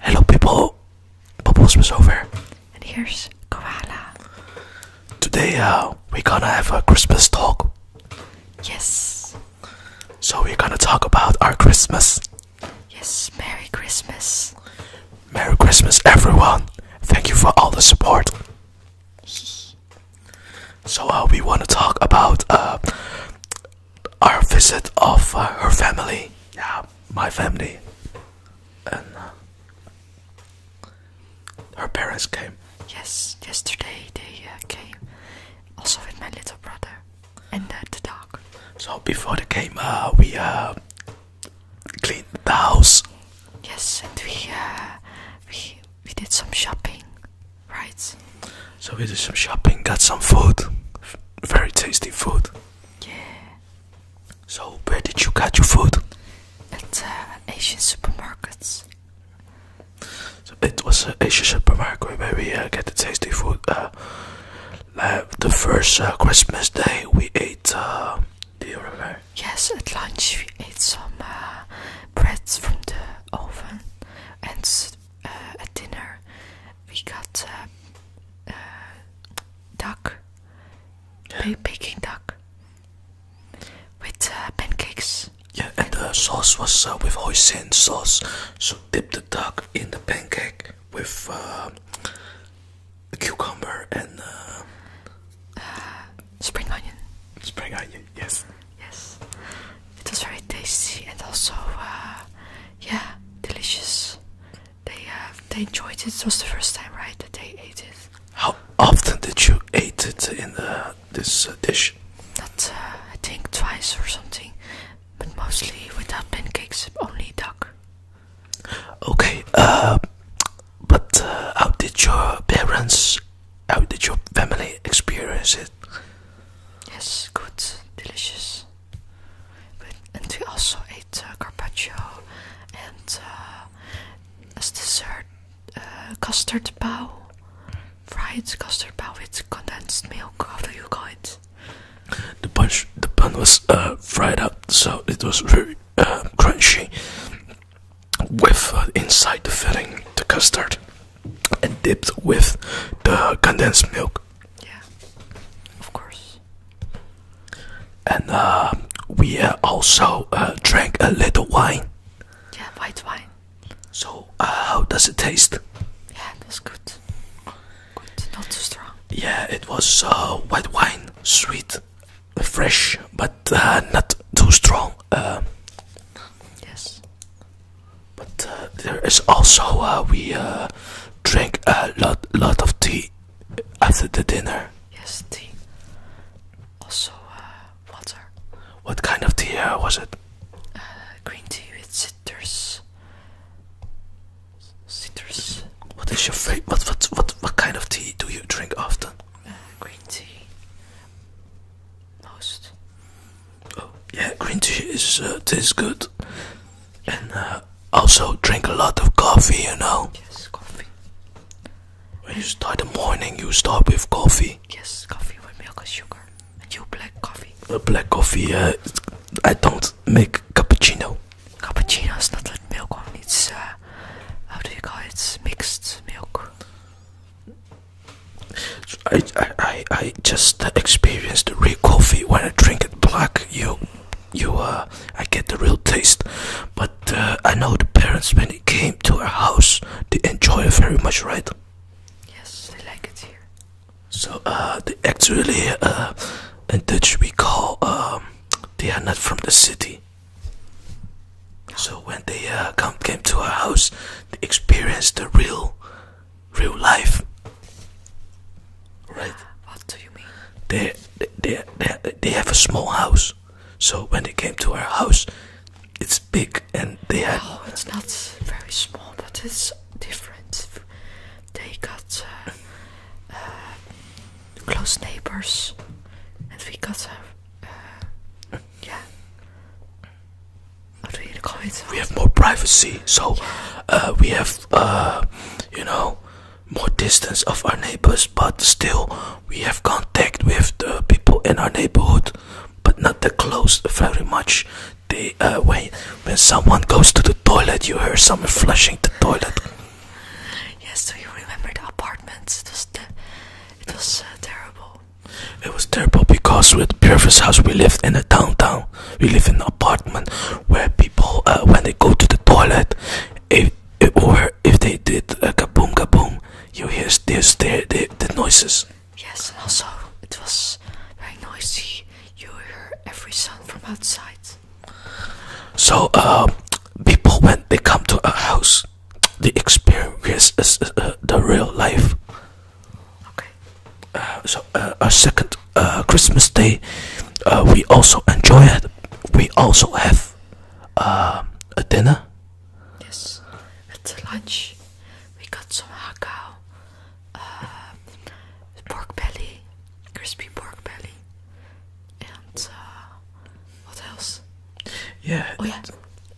Hello people, Bubbles is over, and here's Koala. Today uh, we're gonna have a Christmas talk. Yes. So we're gonna talk about our Christmas. Yes, Merry Christmas. Merry Christmas everyone. Thank you for all the support. so uh, we wanna talk about uh, our visit of uh, her family, yeah, my family, and uh, her parents came. Yes, yesterday they uh, came, also with my little brother and uh, the dog. So before they came, we cleaned the house. Yes, and we we we did some shopping, right? So we did some shopping, got some food, very tasty food. Yeah. So where did you get your food? At uh, Asian supermarkets. So it was an Asian supermarket where we uh, get the tasty food. Uh, the first uh, Christmas day we ate. do you remember? Yes, at lunch we ate some breads from the oven, and at dinner we got uh, uh duck, yeah. duck, with uh, pancakes. Yeah, and the sauce was uh, with hoisin sauce. So dip the duck in the pancake with cucumber and spring onion. Spring onion, yes. Yes, it was very tasty and also, uh, yeah, delicious. They uh, they enjoyed it. It was the first time, right, that they ate it. How often did you eat it in uh, this dish? Not, I think, twice or something, but mostly without pancakes, only duck. Okay, but how did your parents, how did your family experience it? Yes, good, delicious. and we also ate uh, carpaccio and uh, as dessert uh, custard pie, fried custard pie with condensed milk. How do you call it? The punch, the bun was fried up, so it was very crunchy. With inside the filling, the custard and dipped with the condensed milk. Yeah, of course. And uh, we uh, also uh, drank a little wine. Yeah, white wine. So, how does it taste? Yeah, it was good. Good, not too strong. Yeah, it was white wine, sweet, fresh, but not too strong. yes. But uh, there is also uh, we uh, drink a lot lot of tea after the dinner. Yes, tea. Also water. What kind of tea was it? green tea with citrus. Citrus. What is your favorite? What what what what kind of tea do you drink often? green tea. Oh yeah, green tea is uh, good, and uh, also drink a lot of coffee. You know. Yes, coffee. When you start the morning, you start with coffee. Yes, coffee with milk and sugar, and you black coffee. Uh, black coffee. Uh, I don't make cappuccino. Cappuccino is not like milk one. It's uh, how do you call it? It's mixed milk. I, I, I just experience the real coffee when I drink it black. You, you, uh, I get the real taste. But uh, I know the parents when they came to our house, they enjoy very much, right? Yes, they like it here. So uh, they actually uh, in Dutch we call um, they are not from the city. So when they uh, come came to our house, they experienced the real, real life. Right? What do you mean? They they they they have a small house, so when they came to our house, it's big and they had. Oh, it's not very small, but it's different. They got uh, uh, close neighbors, and we got yeah. I'll read the comments. We have more privacy, so uh, we have, uh, you know, more distance of our neighbors, but still we have contact with the people in our neighborhood, but not that close very much. They uh, when when someone goes to the toilet, you hear someone flushing the toilet. Yes, do you remember the apartments? It it was terrible. It was terrible because with Purvis House we lived in a downtown. We lived in an apartment where people, uh, when they go to the toilet, if, if or if they did a kaboom kaboom, you hear this, the, the, the noises. Yes, and also it was very noisy. You hear every sound from outside. So, uh, people when they come to our house, the experience is uh, the real life. Okay. Uh, so uh, our second uh, Christmas day, we also enjoy it. We also have a dinner. Yes, at lunch we got some hakao, pork belly, crispy pork belly, and uh, what else? Yeah. Oh yeah,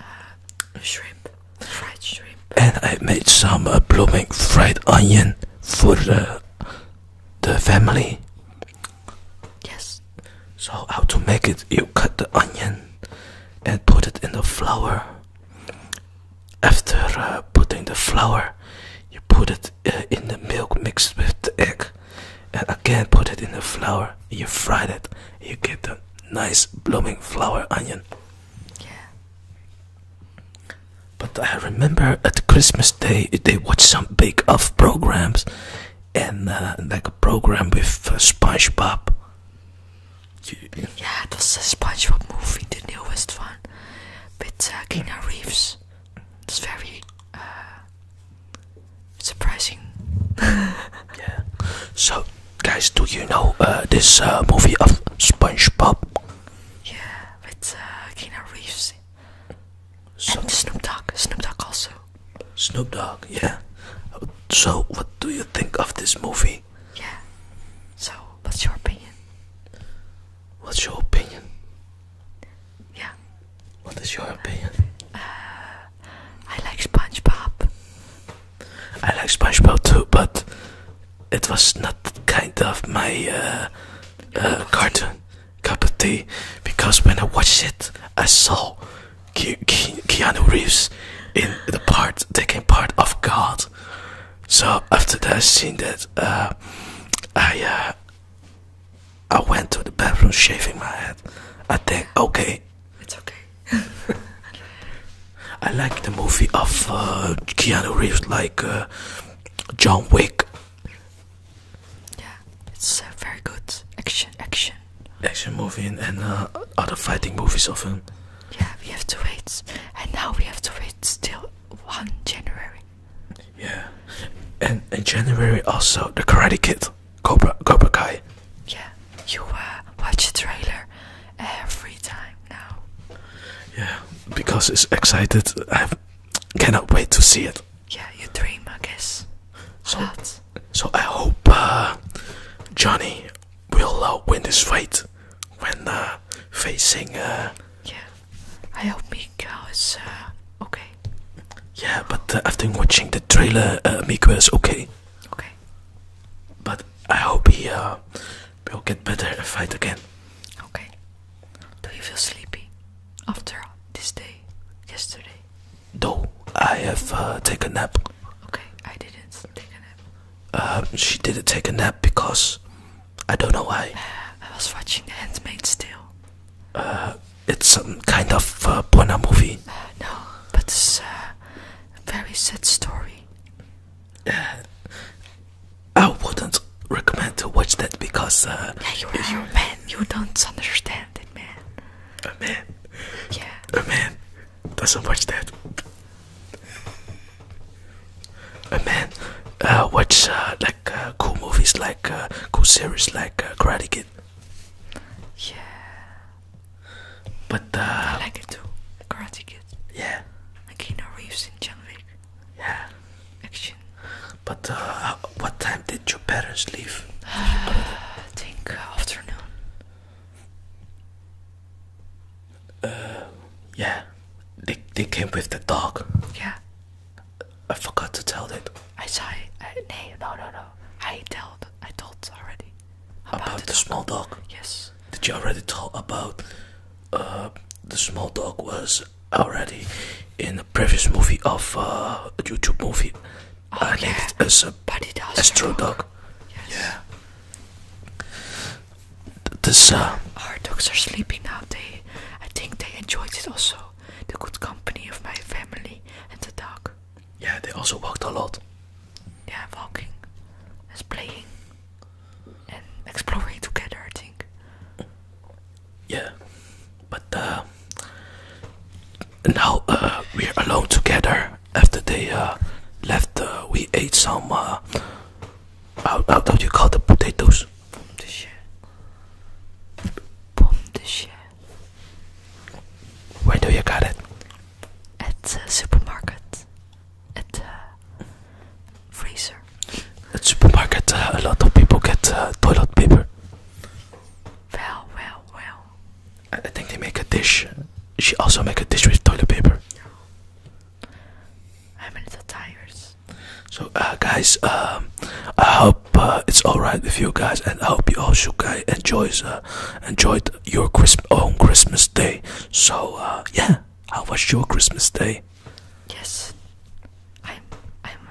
uh, shrimp, fried shrimp. And I made some uh, blooming fried onion for the the family. Yes. So how to make it? You cut the onion and put it in the flour. After putting the flour, you put it in the milk mixed with the egg, and again put it in the flour. You fry it. You get the nice blooming flour onion. Yeah. But I remember at Christmas Day they watched some big off programs, and uh, like a program with uh, SpongeBob. Yeah, dat was de SpongeBob movie, the newest one. With uh, Reeves. It's very uh, surprising. yeah. So, guys, do you know uh, this uh, movie of SpongeBob? Yeah, with uh, Keanu Reeves Snoop Dogg. Snoop Dogg also. Snoop Dogg, yeah. So, what do you think of this movie? Yeah. So, what's your opinion? What's your opinion? Yeah. What is your opinion? Uh, I like SpongeBob. I like SpongeBob too, but it was not kind of my uh, uh, cartoon cup of tea because when I watched it, I saw Keanu Reeves in the part taking part of God. So after that, I seen that I I went to the bathroom shaving my head. I think, okay. It's okay. I like the movie of uh, Keanu Reeves, like uh, John Wick. Yeah, it's uh, very good action, action, action movie, and, other fighting movies of him. Yeah, we have to wait, and now we have to wait till one January yeah, and in January also the Karate Kid, Cobra Cobra Kai. Yeah, you uh, watch the trailer every time now. Yeah, because it's excited. I cannot wait to see it. Yeah, you dream, I guess. So, so I hope uh, Johnny will uh, win this fight when uh, facing. yeah. I hope Miko is uh, okay. Yeah, but after uh, watching the trailer, uh, Miko is okay. Okay. But I hope he uh, will get better and fight again. Okay. Do you feel sleepy after this day, yesterday? No, I have uh, taken a nap. Okay, I didn't take a nap. she didn't take a nap because I don't know why. I was watching The Handmaid's Tale. Uh, it's some kind of uh, porno movie. Uh, no, but it's uh, a very sad story. I wouldn't recommend to watch that because. yeah, you you're a man. You don't understand it, man. A man. Yeah. A man doesn't watch that. Uh, man, uh, watch uh, like uh, cool movies, like cool series, like Karate Kid. Yeah, but I like it too. Karate Kid. Yeah. Like Keanu Reeves in John Yeah. Action. But what time did your parents leave? think afternoon. Uh, yeah, they they came with the dog. Yeah. I forgot to tell that. I saw it. Uh, no, no, no. I told. I told already. About, the, small dog. Yes. Did you already talk about? Uh, the small dog was already in the previous movie of uh, YouTube movie. Oh, I uh, yeah. as a dog. Yes. Yeah this our dogs are sleeping now. They, I think they enjoyed it also. The good company of my family and the dog. Yeah, they also walked a lot. Yeah, walking, and playing, and exploring together. I think. Yeah, but uh, now uh, we're alone together after they uh, left, uh, we ate some. Uh, how, how do you call the potatoes? Pomme de chien. Pomme Where do you got it? At the uh, supermarket. At the uh, freezer. At supermarket, a lot of people get toilet paper. Well, well, well. I, think they make a dish. She also make a dish with toilet paper. I mean the tires. So uh, guys, um, I hope uh, it's all right with you guys, and I hope you also guys enjoys uh, enjoyed your Christ own Christmas day. So yeah, how was your Christmas day? Yes, I'm I'm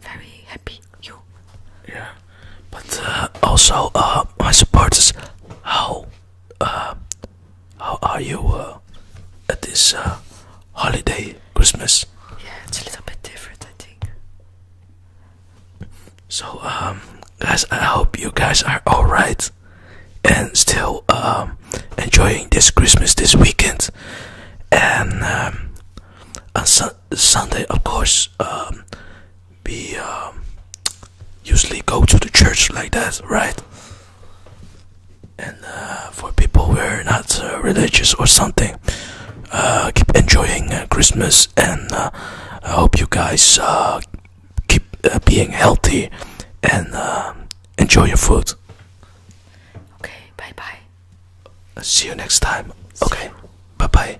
very happy. You? Yeah, but also uh, my supporters, how uh, how are you uh, at this uh, holiday Christmas? Yeah, it's a little bit different, I think. So, um, guys, I hope you guys are all right and still um, enjoying this Christmas this weekend. And um, on Sunday, of course, um, be um, usually go to the church like that, right? And uh, for people who are not uh, religious or something, uh, keep enjoying Christmas, and I hope you guys keep being healthy and enjoy your food. Okay, bye bye. See you next time. okay, bye bye.